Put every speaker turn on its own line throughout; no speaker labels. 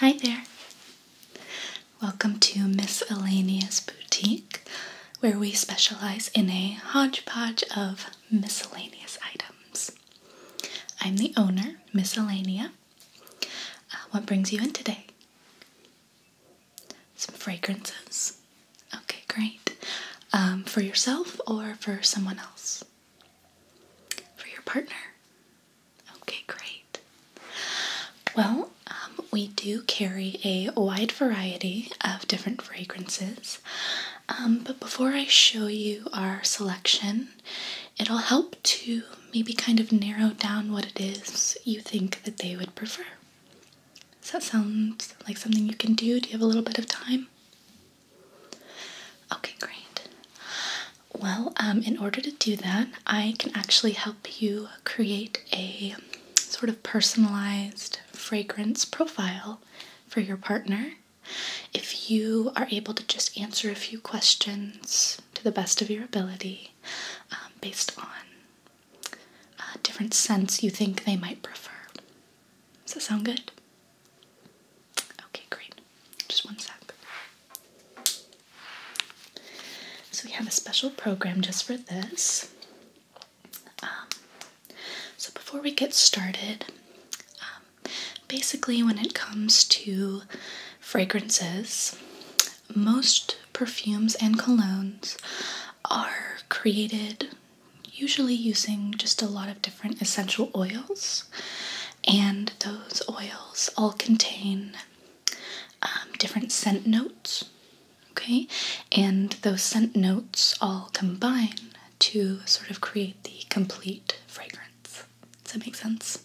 Hi there. Welcome to Miss Elenia's Boutique, where we specialize in a hodgepodge of miscellaneous items. I'm the owner, Miss uh, what brings you in today? Some fragrances. Okay, great. Um, for yourself or for someone else? For your partner? Okay, great. Well, um, we do carry a wide variety of different fragrances. Um, but before I show you our selection, it'll help to maybe kind of narrow down what it is you think that they would prefer. Does that sound like something you can do? Do you have a little bit of time? Okay, great. Well, um, in order to do that, I can actually help you create a sort of personalized fragrance profile for your partner. If you are able to just answer a few questions to the best of your ability um, based on uh, different scents you think they might prefer. Does that sound good? Okay, great. Just one sec. So, we have a special program just for this. Um, so, before we get started, um, Basically, when it comes to fragrances, most perfumes and colognes are created usually using just a lot of different essential oils, and those oils all contain um, different scent notes. Okay, and those scent notes all combine to sort of create the complete fragrance. Does that make sense?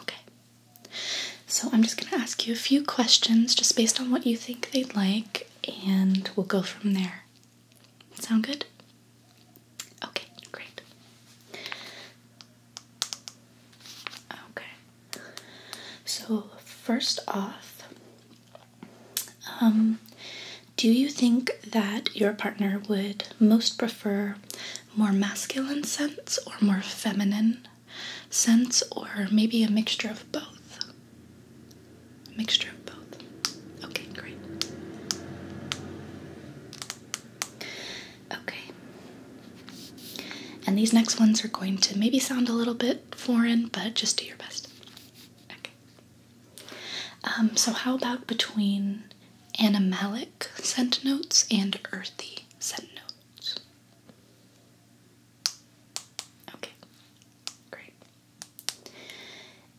Okay. So I'm just going to ask you a few questions just based on what you think they'd like, and we'll go from there. Sound good? Okay, great. Okay. So, first off, um, do you think that your partner would most prefer more masculine scents or more feminine scents, or maybe a mixture of both? mixture of both. Okay, great. Okay. And these next ones are going to maybe sound a little bit foreign, but just do your best. Okay. Um, so, how about between animalic scent notes and earthy scent notes? Okay, great.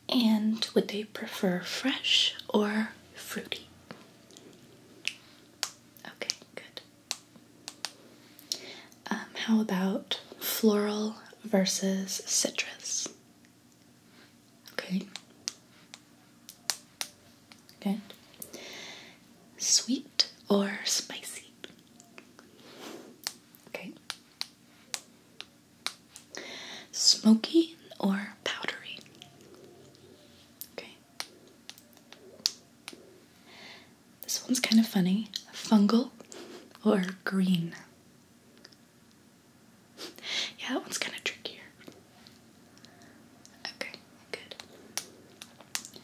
And would they prefer fresh or fruity? Okay, good. Um, how about floral versus citrus? Okay. Good. Sweet or spicy? Okay. Smoky or powdery? Okay. This one's kind of funny. Fungal or green? yeah, that one's kind of trickier. Okay, good.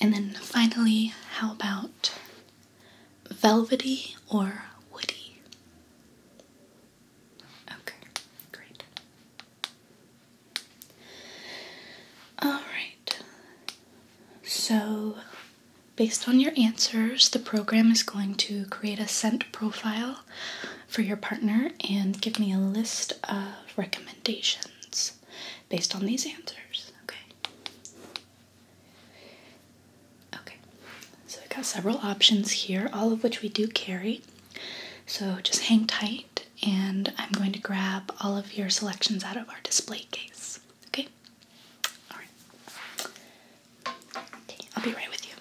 And then finally, how about velvety or woody? Okay, great. All right. So Based on your answers, the program is going to create a scent profile for your partner and give me a list of recommendations based on these answers. Okay. Okay. So we've got several options here, all of which we do carry. So just hang tight and I'm going to grab all of your selections out of our display case. Okay? Alright. Okay, I'll be right with you.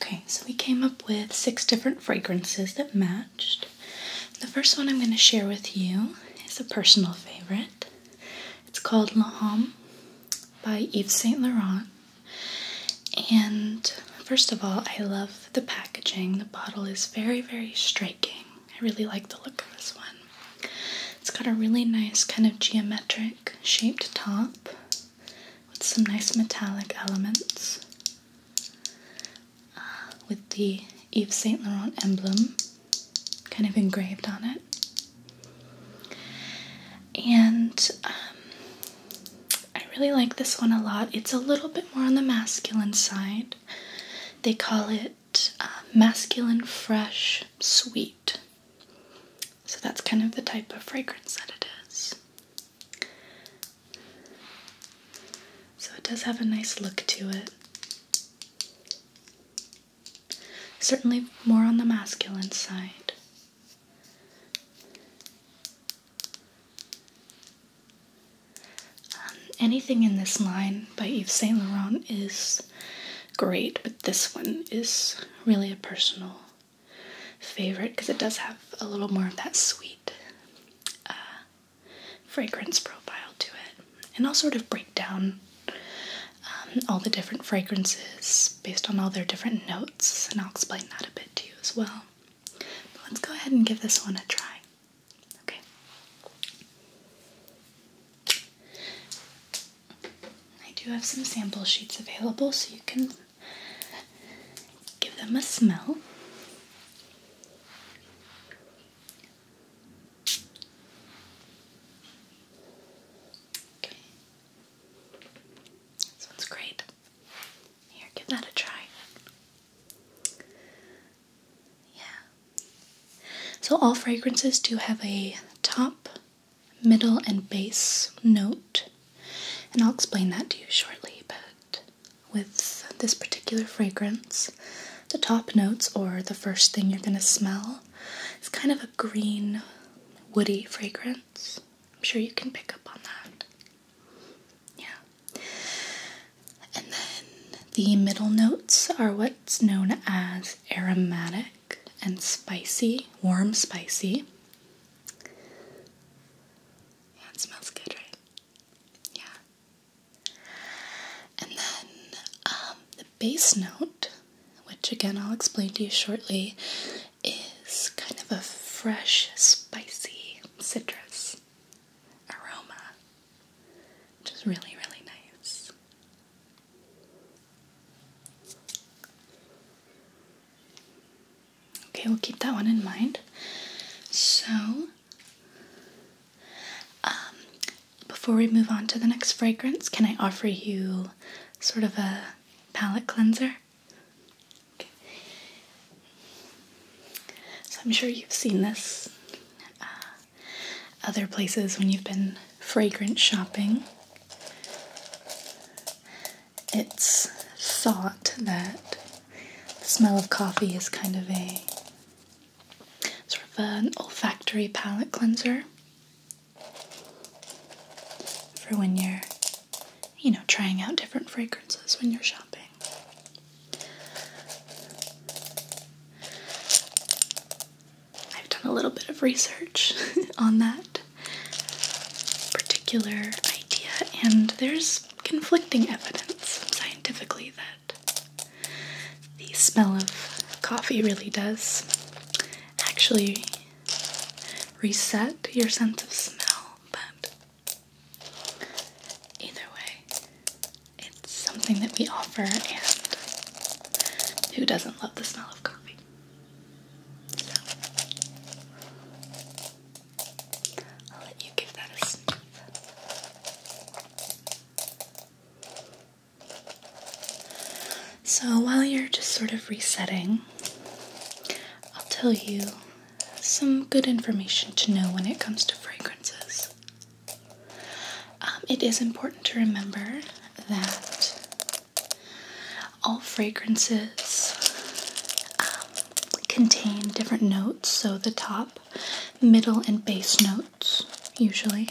Okay, so we came up with six different fragrances that matched. The first one I'm going to share with you is a personal favorite. It's called La Homme by Yves Saint Laurent. And first of all, I love the packaging. The bottle is very, very striking. I really like the look of this one. It's got a really nice kind of geometric shaped top with some nice metallic elements. Uh, with the Yves Saint Laurent emblem kind of engraved on it. And um, I really like this one a lot. It's a little bit more on the masculine side. They call it uh, masculine, fresh, sweet. So that's kind of the type of fragrance that it is. So it does have a nice look to it. Certainly more on the masculine side. Um, anything in this line by Yves Saint Laurent is great, but this one is really a personal favorite because it does have a little more of that sweet uh, fragrance profile to it. And I'll sort of break down um, all the different fragrances based on all their different notes, and I'll explain that a bit to you as well let's go ahead and give this one a try. Okay. I do have some sample sheets available so you can give them a smell. Okay. This one's great. Here, give that a try. Yeah. So, all fragrances do have a top, middle, and base note, and I'll explain that to you shortly. But with this particular fragrance, the top notes, or the first thing you're going to smell, is kind of a green, woody fragrance. I'm sure you can pick up on that. Yeah. And then the middle notes are what's known as aromatic and spicy, warm spicy. Yeah, it smells good, right? Yeah. And then um, the bass note, which again I'll explain to you shortly, is kind of a fresh, spicy citrus aroma, which is really, really nice. Okay, we'll keep that one in mind. So, um, before we move on to the next fragrance, can I offer you sort of a palette cleanser? So I'm sure you've seen this uh, other places when you've been fragrance shopping. It's thought that the smell of coffee is kind of a sort of an olfactory palate cleanser for when you're you know, trying out different fragrances when you're shopping. I've done a little bit of research on that particular idea, and there's conflicting evidence scientifically that the smell of coffee really does actually reset your sense of smell, but Either way, it's something that we offer, and who doesn't love the smell of coffee? So, I'll let you give that a sniff. So, while you're just sort of resetting, I'll tell you some good information to know when it comes to fragrances. Um, it is important to remember that all fragrances um, contain different notes, so the top, middle, and base notes, usually.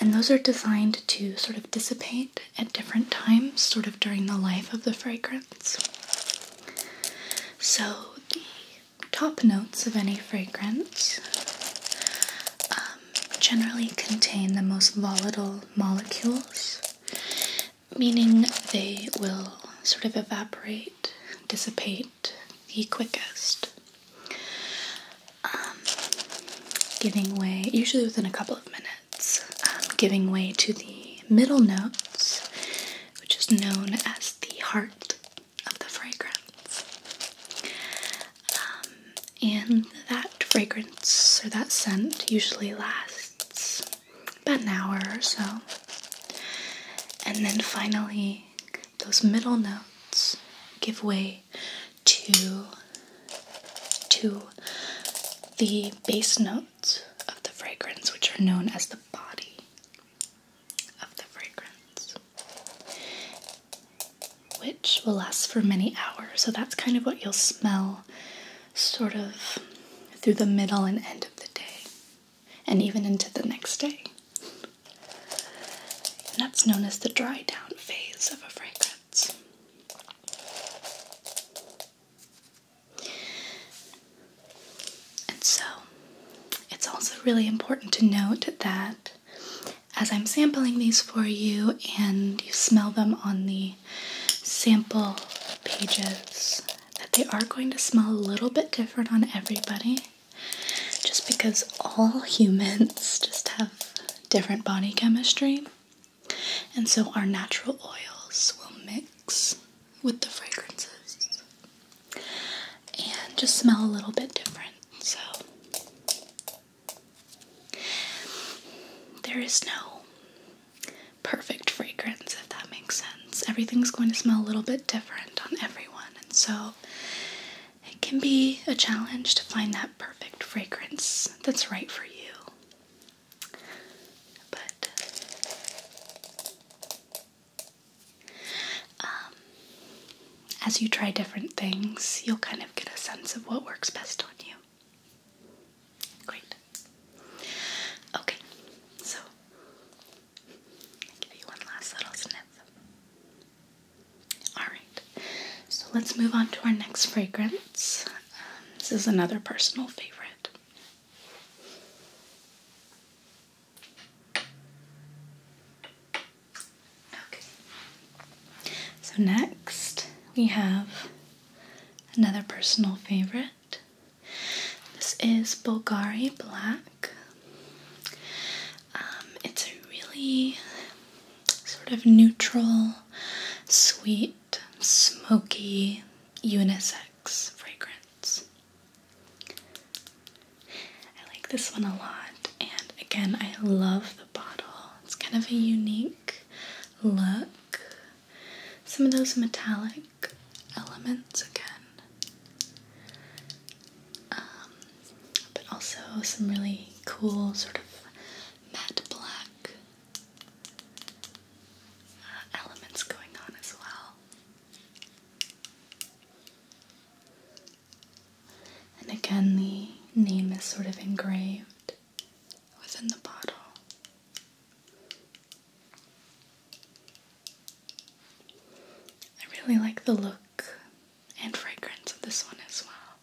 And those are designed to sort of dissipate at different times, sort of during the life of the fragrance. So, the top notes of any fragrance um, generally contain the most volatile molecules, meaning they will sort of evaporate, dissipate the quickest, um, giving way, usually within a couple of minutes, um, giving way to the middle notes, which is known as the heart of the fragrance. Um, and that fragrance or that scent usually lasts about an hour or so. And then finally, those middle notes give way to to the bass note of the fragrance, which are known as the body of the fragrance, which will last for many hours. So that's kind of what you'll smell sort of through the middle and end of the day, and even into the next day. And that's known as the dry down phase of a fragrance. And so it's also really important to note that as I'm sampling these for you and you smell them on the sample pages, that they are going to smell a little bit different on everybody just because all humans just have different body chemistry. And so our natural oils will mix with the fragrances and just smell a little bit different. So there is no perfect fragrance, if that makes sense. Everything's going to smell a little bit different on everyone, and so it can be a challenge to find that perfect fragrance that's right for you. But uh, um, as you try different things, you'll kind of get a sense of what works best on you. Great. Okay, so give you one last little sniff. Alright, so let's move on to our next fragrance. Um, this is another personal favorite. Okay. So next we have another personal favorite. This is Bulgari Black. Um, it's a really sort of neutral, sweet smoky unisex fragrance. I like this one a lot, and again, I love the bottle. It's kind of a unique look. Some of those metallic elements again, um, but also some really cool sort of matte black uh, elements going on as well. And again, the name is sort of engraved within the bottle. I really like the look and fragrance of this one as well.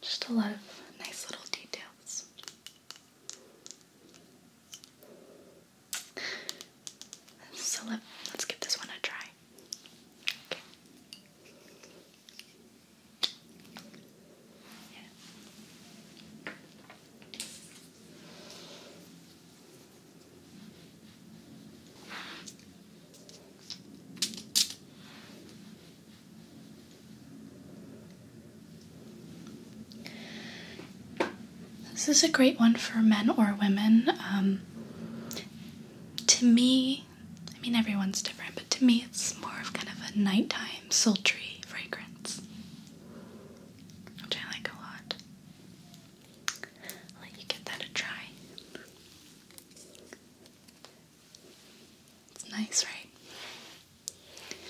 Just a lot of nice little details. So let, us give this one a try. Okay. This is a great one for men or women. Um, to me, I mean, everyone's different, but to me, it's more of kind of a nighttime, sultry fragrance, which I like a lot. let you give that a try. It's nice, right?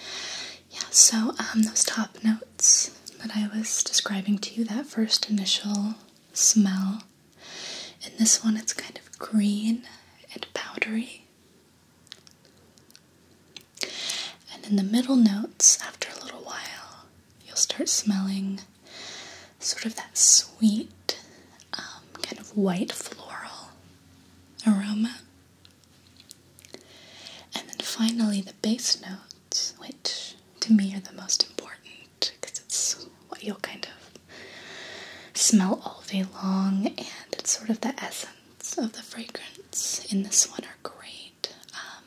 Yeah, so um, those top notes that I was describing to you, that first initial smell. In this one, it's kind of green and powdery. And in the middle notes, after a little while, you'll start smelling sort of that sweet, um, kind of white floral aroma. And then finally, the bass notes, which to me are the most important because it's what you'll kind of smell all day long, and it's sort of the essence of the fragrance in this one are great. Um,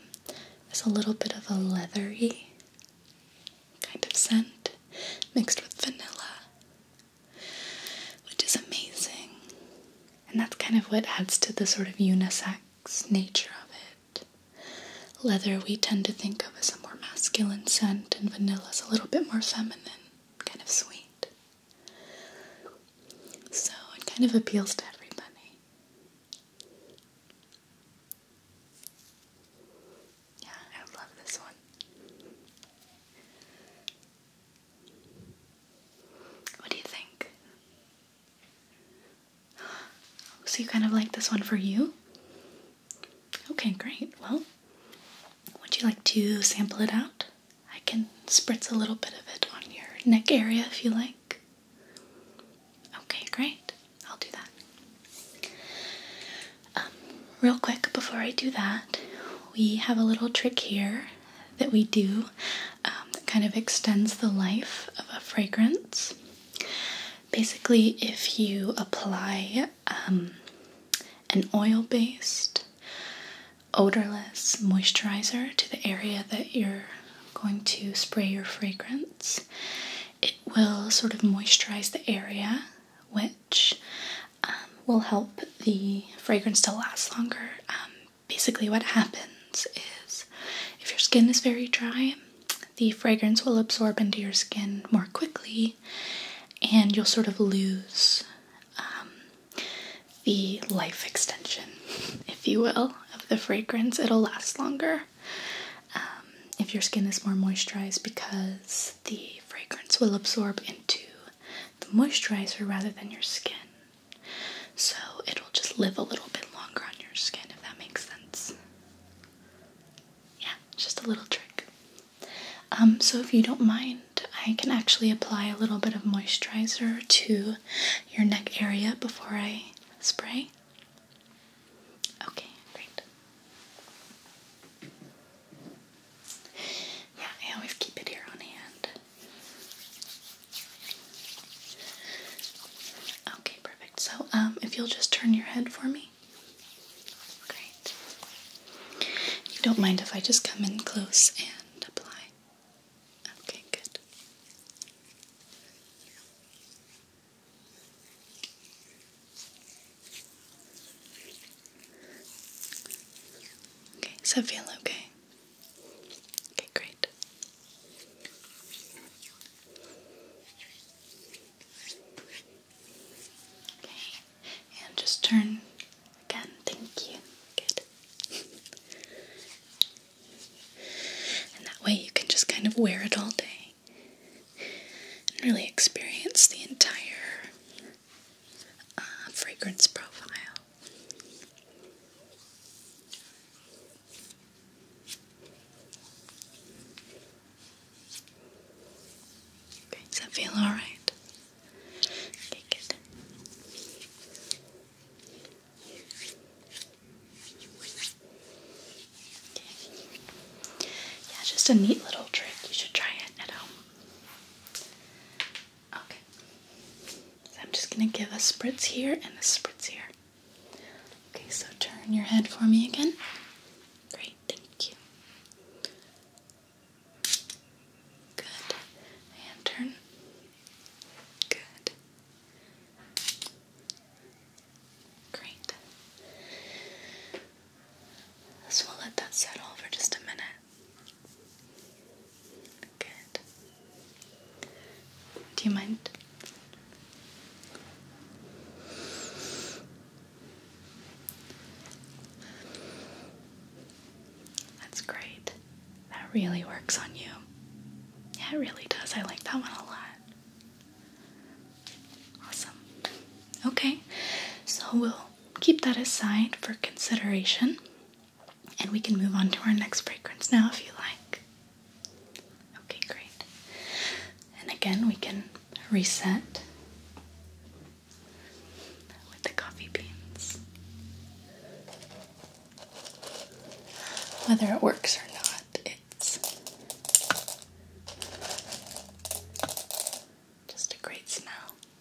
there's a little bit of a leathery kind of scent mixed with vanilla which is amazing. And that's kind of what adds to the sort of unisex nature of it. Leather, we tend to think of as a more masculine scent, and vanilla is a little bit more feminine, kind of sweet. So it kind of appeals to everybody. Yeah, I love this one. What do you think? So, you kind of like this one for you? Okay, great. Well, would you like to sample it out? I can spritz a little bit of it on your neck area if you like. Okay, great. I'll do that. Um, real quick before I do that, we have a little trick here that we do um, that kind of extends the life of a fragrance. Basically, if you apply um, an oil based, odorless moisturizer to the area that you're going to spray your fragrance, it will sort of moisturize the area, which um, will help the fragrance to last longer. Um, basically, what happens is if your skin is very dry, the fragrance will absorb into your skin more quickly, and you'll sort of lose um, the life extension, if you will, of the fragrance. It'll last longer if your skin is more moisturized because the fragrance will absorb into the moisturizer rather than your skin. So it'll just live a little bit longer on your skin if that makes sense. Yeah, just a little trick. Um, so if you don't mind, I can actually apply a little bit of moisturizer to your neck area before I spray. Okay, great. Yeah, I always keep it here on hand. Okay, perfect. So, um, if you'll just turn your head for me. Great. You don't mind if I just come in close and apply? Okay, good. Okay, so I feel okay? Okay, great. Okay, and just turn again. Thank you. Good. and that way you can just kind of wear it all day and really experience the entire uh, fragrance profile. does that feel all right? Yeah, just a neat little trick. You should try it at home. Okay. So I'm just going to give a spritz here and a spritz here. Okay, so turn your head for me again. Great, thank you. Good. And turn. Good. Great. So we let that settle for just a minute. Good. Do you mind? That's great. That really works on you. Yeah, it really does. I like that one a lot. Awesome. Okay, so we'll keep that aside for consideration and we can move on to our next fragrance now if you like. Okay, great. And again, we can reset with the coffee beans. Whether it works or not, it's just a great smell.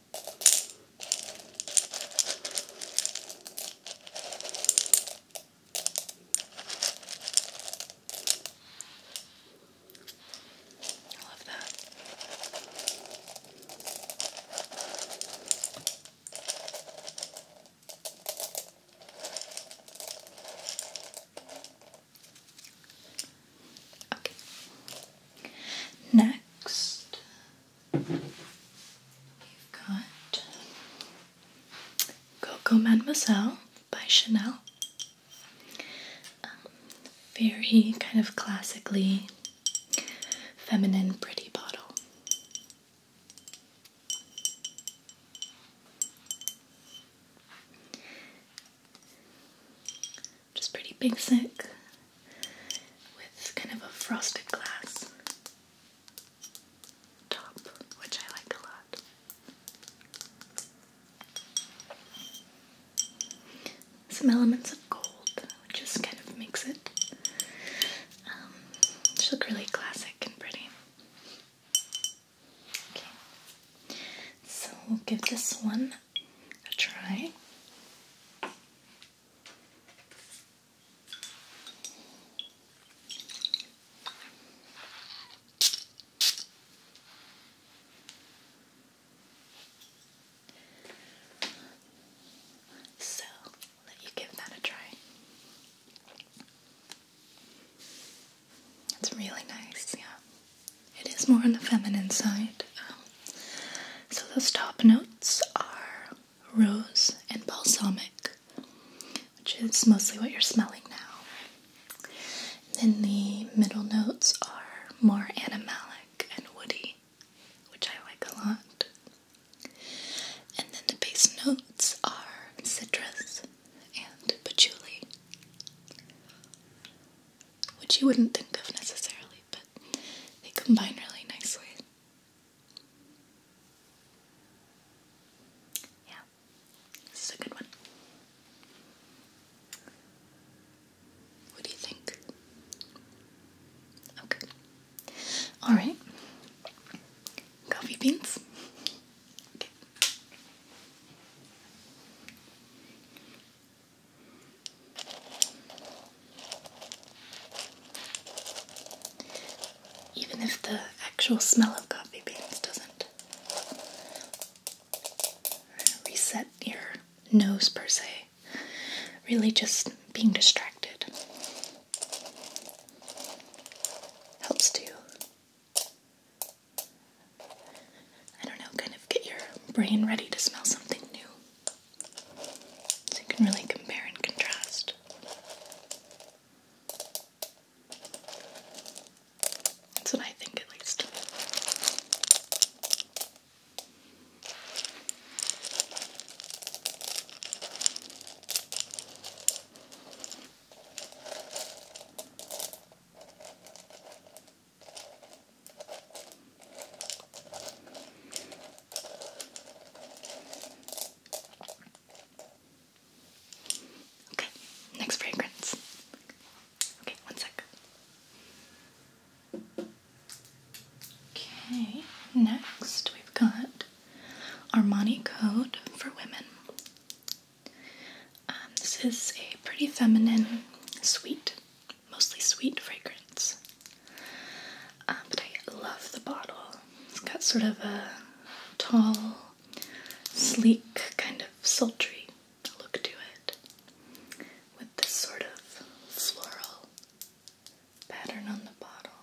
I love that. Okay. Next, got Coco Mademoiselle by Chanel. Um, very kind of classically feminine, pretty bottle. Just pretty basic, with kind of a frosted glass top, which I like a lot. Some elements of gold, which just kind of makes it um, look really classic and pretty. Okay, so we'll give this one a try. So let you give that a try. It's really nice, yeah. It is more on the feminine side. Um, so those top notes are rose and balsamic, which is mostly what you're smelling now. then the middle notes are more animalic and woody, which I like a lot. And then the base notes are citrus and patchouli, which you wouldn't think of necessarily, but they combine really nicely. Yeah, this is a good one. What do you think? Okay. Alright. Coffee beans. Okay. Even if the actual smell of coffee beans doesn't reset your nose per se, really just being distracted helps to, I don't know, kind of get your brain ready to smell something new. So you can really compare and contrast. That's what I think, at least. Okay, next fragrance. Okay, one second. Okay, next we've got Armani Code for Women. Um, this is a pretty feminine, sweet mostly sweet fragrance. Uh, but I love the bottle. It's got sort of a tall, sleek, kind of sultry look to it with this sort of floral pattern on the bottle.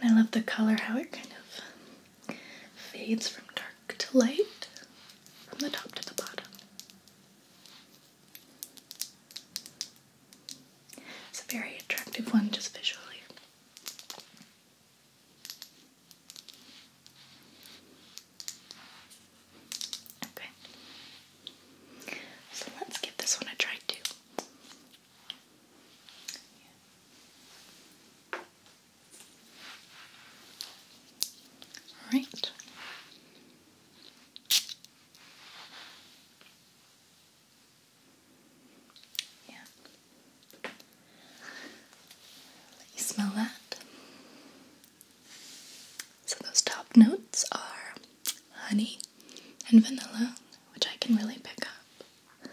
And I love the color, how it kind of fades from dark to light from the top to the bottom. It's a very attractive one just visually. Okay. So let's give this one a try too. All right. Yeah. Let you smell that. So those top notes are honey and vanilla, which I can really pick up.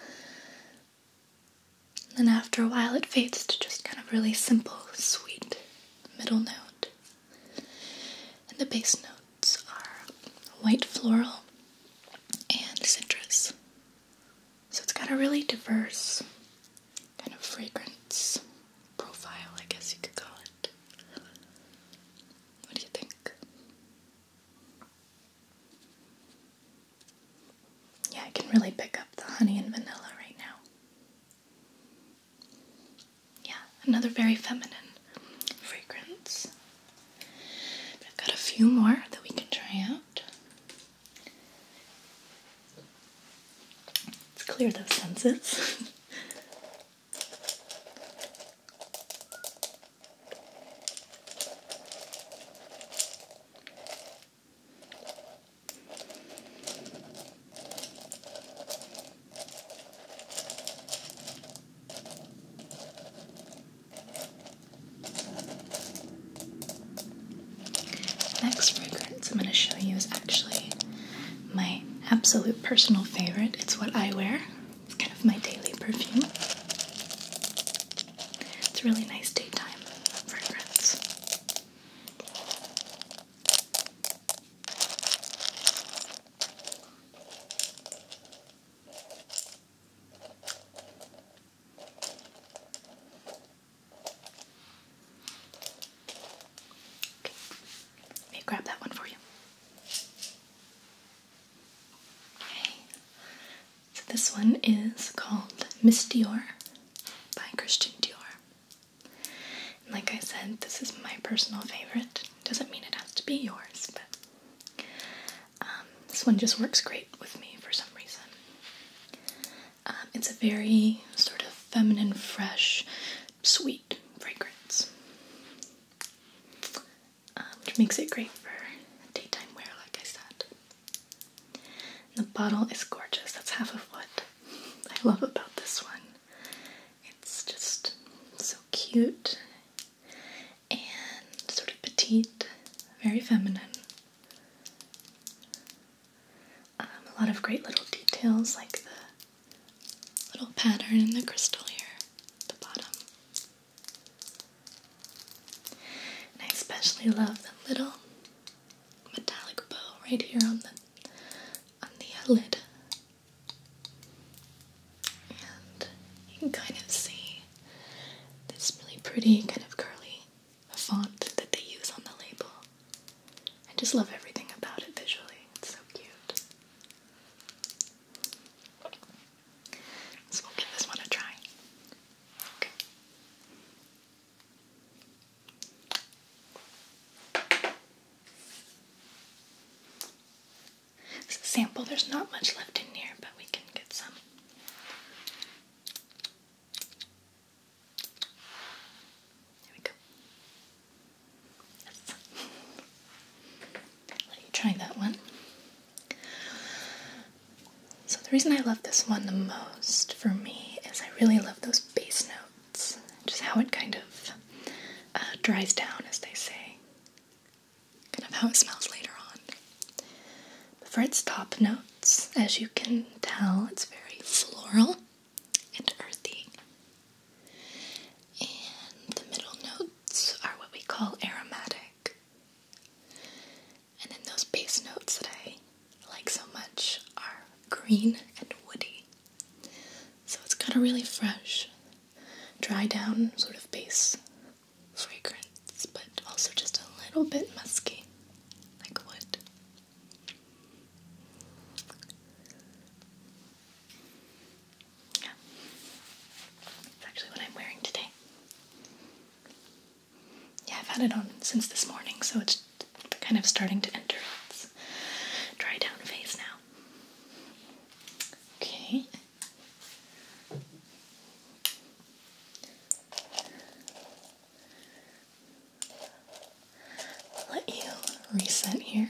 And then after a while, it fades to just kind of really simple, sweet middle note. And the base notes are white floral and citrus. So it's got a really diverse kind of fragrance profile, I guess you could call it. What do you think? Yeah, I can really pick up the honey and vanilla right now. Yeah, another very feminine fragrance. I've got a few more that we can try out. Let's clear those senses next fragrance I'm going to show you is actually my absolute personal favorite. It's what I wear, it's kind of my daily perfume. It's a really nice daytime fragrance. Okay, let me grab that one for you. Okay, so this one is called Miss Dior by Christian Dior. And like I said, this is my personal favorite. Doesn't mean it has to be yours, but um, this one just works great with me for some reason. Um, it's a very sort of feminine, fresh, sweet fragrance, um, which makes it great for daytime wear, like I said. The bottle is gorgeous. That's half of what I love about this one. It's just so cute and sort of petite, very feminine. Um, a lot of great little details like the little pattern in the crystal here the bottom. And I especially love the little metallic bow right here on the on the uh, lid. And you can kind of see this really pretty kind of curly font that they use on the label. I just love everything about it visually. It's so cute. So we give this one a try. Okay sample. There's not much left in here, but we can get some. There we go. Yes. Let you try that one. So the reason I love this one the most for me is I really love those bass notes, just how it kind of uh, dries down, as they say. Kind of how it smells later on. for its top notes, as you can tell, it's very floral and earthy. And the middle notes are what we call aromatic. And then those base notes that I like so much are green and woody. So it's got a really fresh, dry down sort of base fragrance, but also just a little bit musky, like wood. Yeah. That's actually what I'm wearing today yeah, I've had it on since this morning, so it's kind of starting to enter its dry down phase now. Okay. Let you reset here.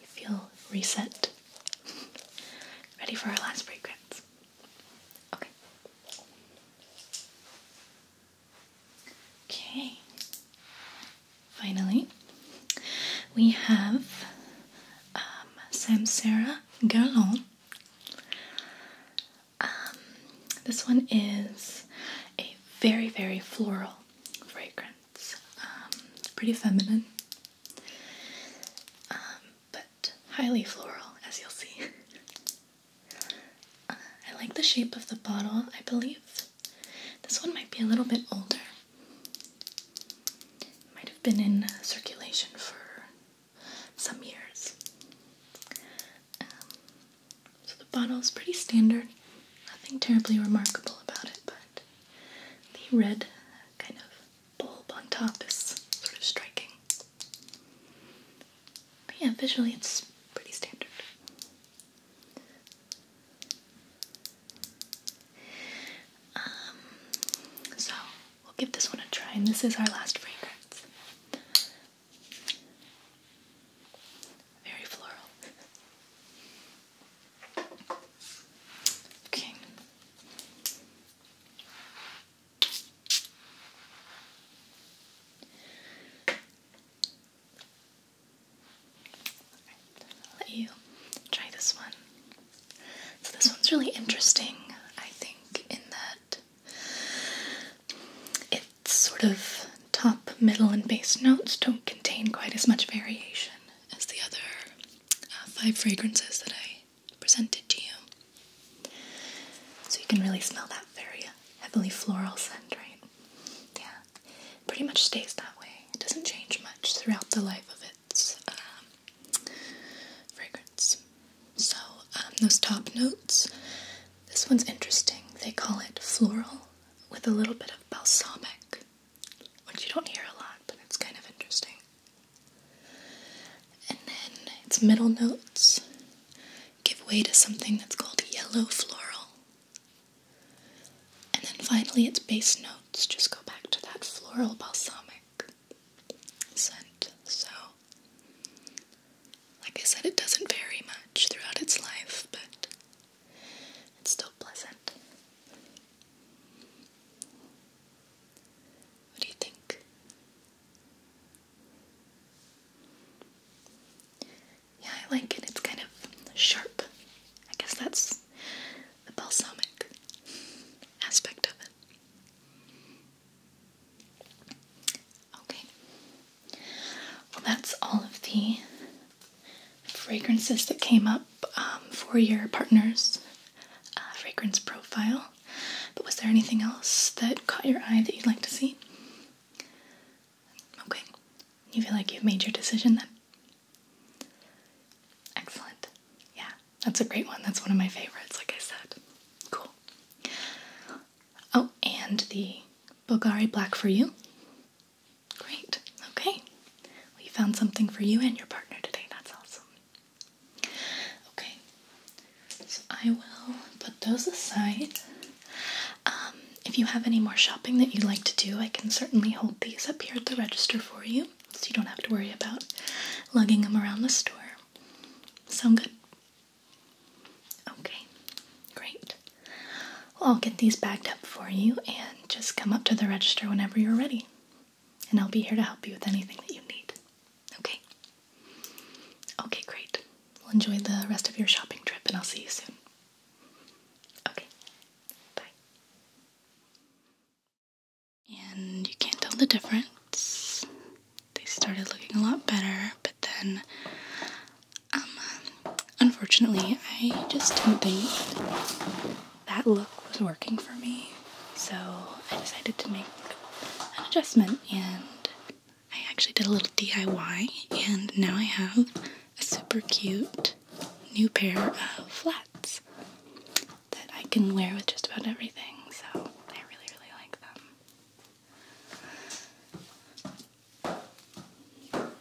you feel reset. Ready for our last fragrance. Okay. Okay. Finally, we have um, Samsara Guerlain. Um, this one is a very, very floral fragrance. Um, pretty feminine. Um, but highly floral, as you'll see. Uh, I like the shape of the bottle, I believe. This one might be a little bit older. might have been in circulation for some years. Um, so the bottle's pretty standard, nothing terribly remarkable about it, but the red kind of bulb on top is sort of striking. yeah, visually it's pretty standard. Um, so we'll give this one a try, and this is our last fragrance. Very floral. Okay. let you try this one. So this one's really interesting, I think, in that it's sort of top, middle, and bass notes don't contain quite as much variation as the other uh, five fragrances that I presented to you. So you can really smell that very heavily floral scent, right? Yeah, pretty much stays that way. It doesn't change much throughout the life of its um, fragrance. So um, those top notes. This one's interesting. They call it floral with a little bit of balsamic which you don't hear a lot, but it's kind of interesting. And then its middle notes give way to something that's called yellow floral. And then finally, its bass notes just go back to that floral balsamic scent. So, like I said, it doesn't vary much throughout its life, but it's still pleasant. What do you think? Yeah, I like it. It's kind of sharp. I guess that's the balsamic aspect of it. Okay. Well, that's all of the fragrances that came up um, for your partner's uh, fragrance profile. But was there anything else that caught your eye that you'd like to see? Okay. You feel like you've made your decision then? Excellent. Yeah, that's a great one. That's one of my favorites, like I said. Cool. Oh, and the Bulgari Black for You. Great. Okay. we found something for you and your partner today. That's awesome. Okay. So I will put those aside. Um, if you have any more shopping that you'd like to do, I can certainly hold these up here at the register for you so you don't have to worry about lugging them around the store. Sound good? Okay, great. Well, I'll get these bagged up for you and just come up to the register whenever you're ready, and I'll be here to help you with anything that you need. Okay? Okay, great. enjoy the rest of your shopping trip, and I'll see you soon. Okay, bye. And you can't tell the difference. They started looking a lot better, but then, um, unfortunately, I just didn't think that look was working for me, so I decided to make an adjustment and I actually did a little DIY and now I have a super cute new pair of flats that I can wear with just about everything, so I really, really like them.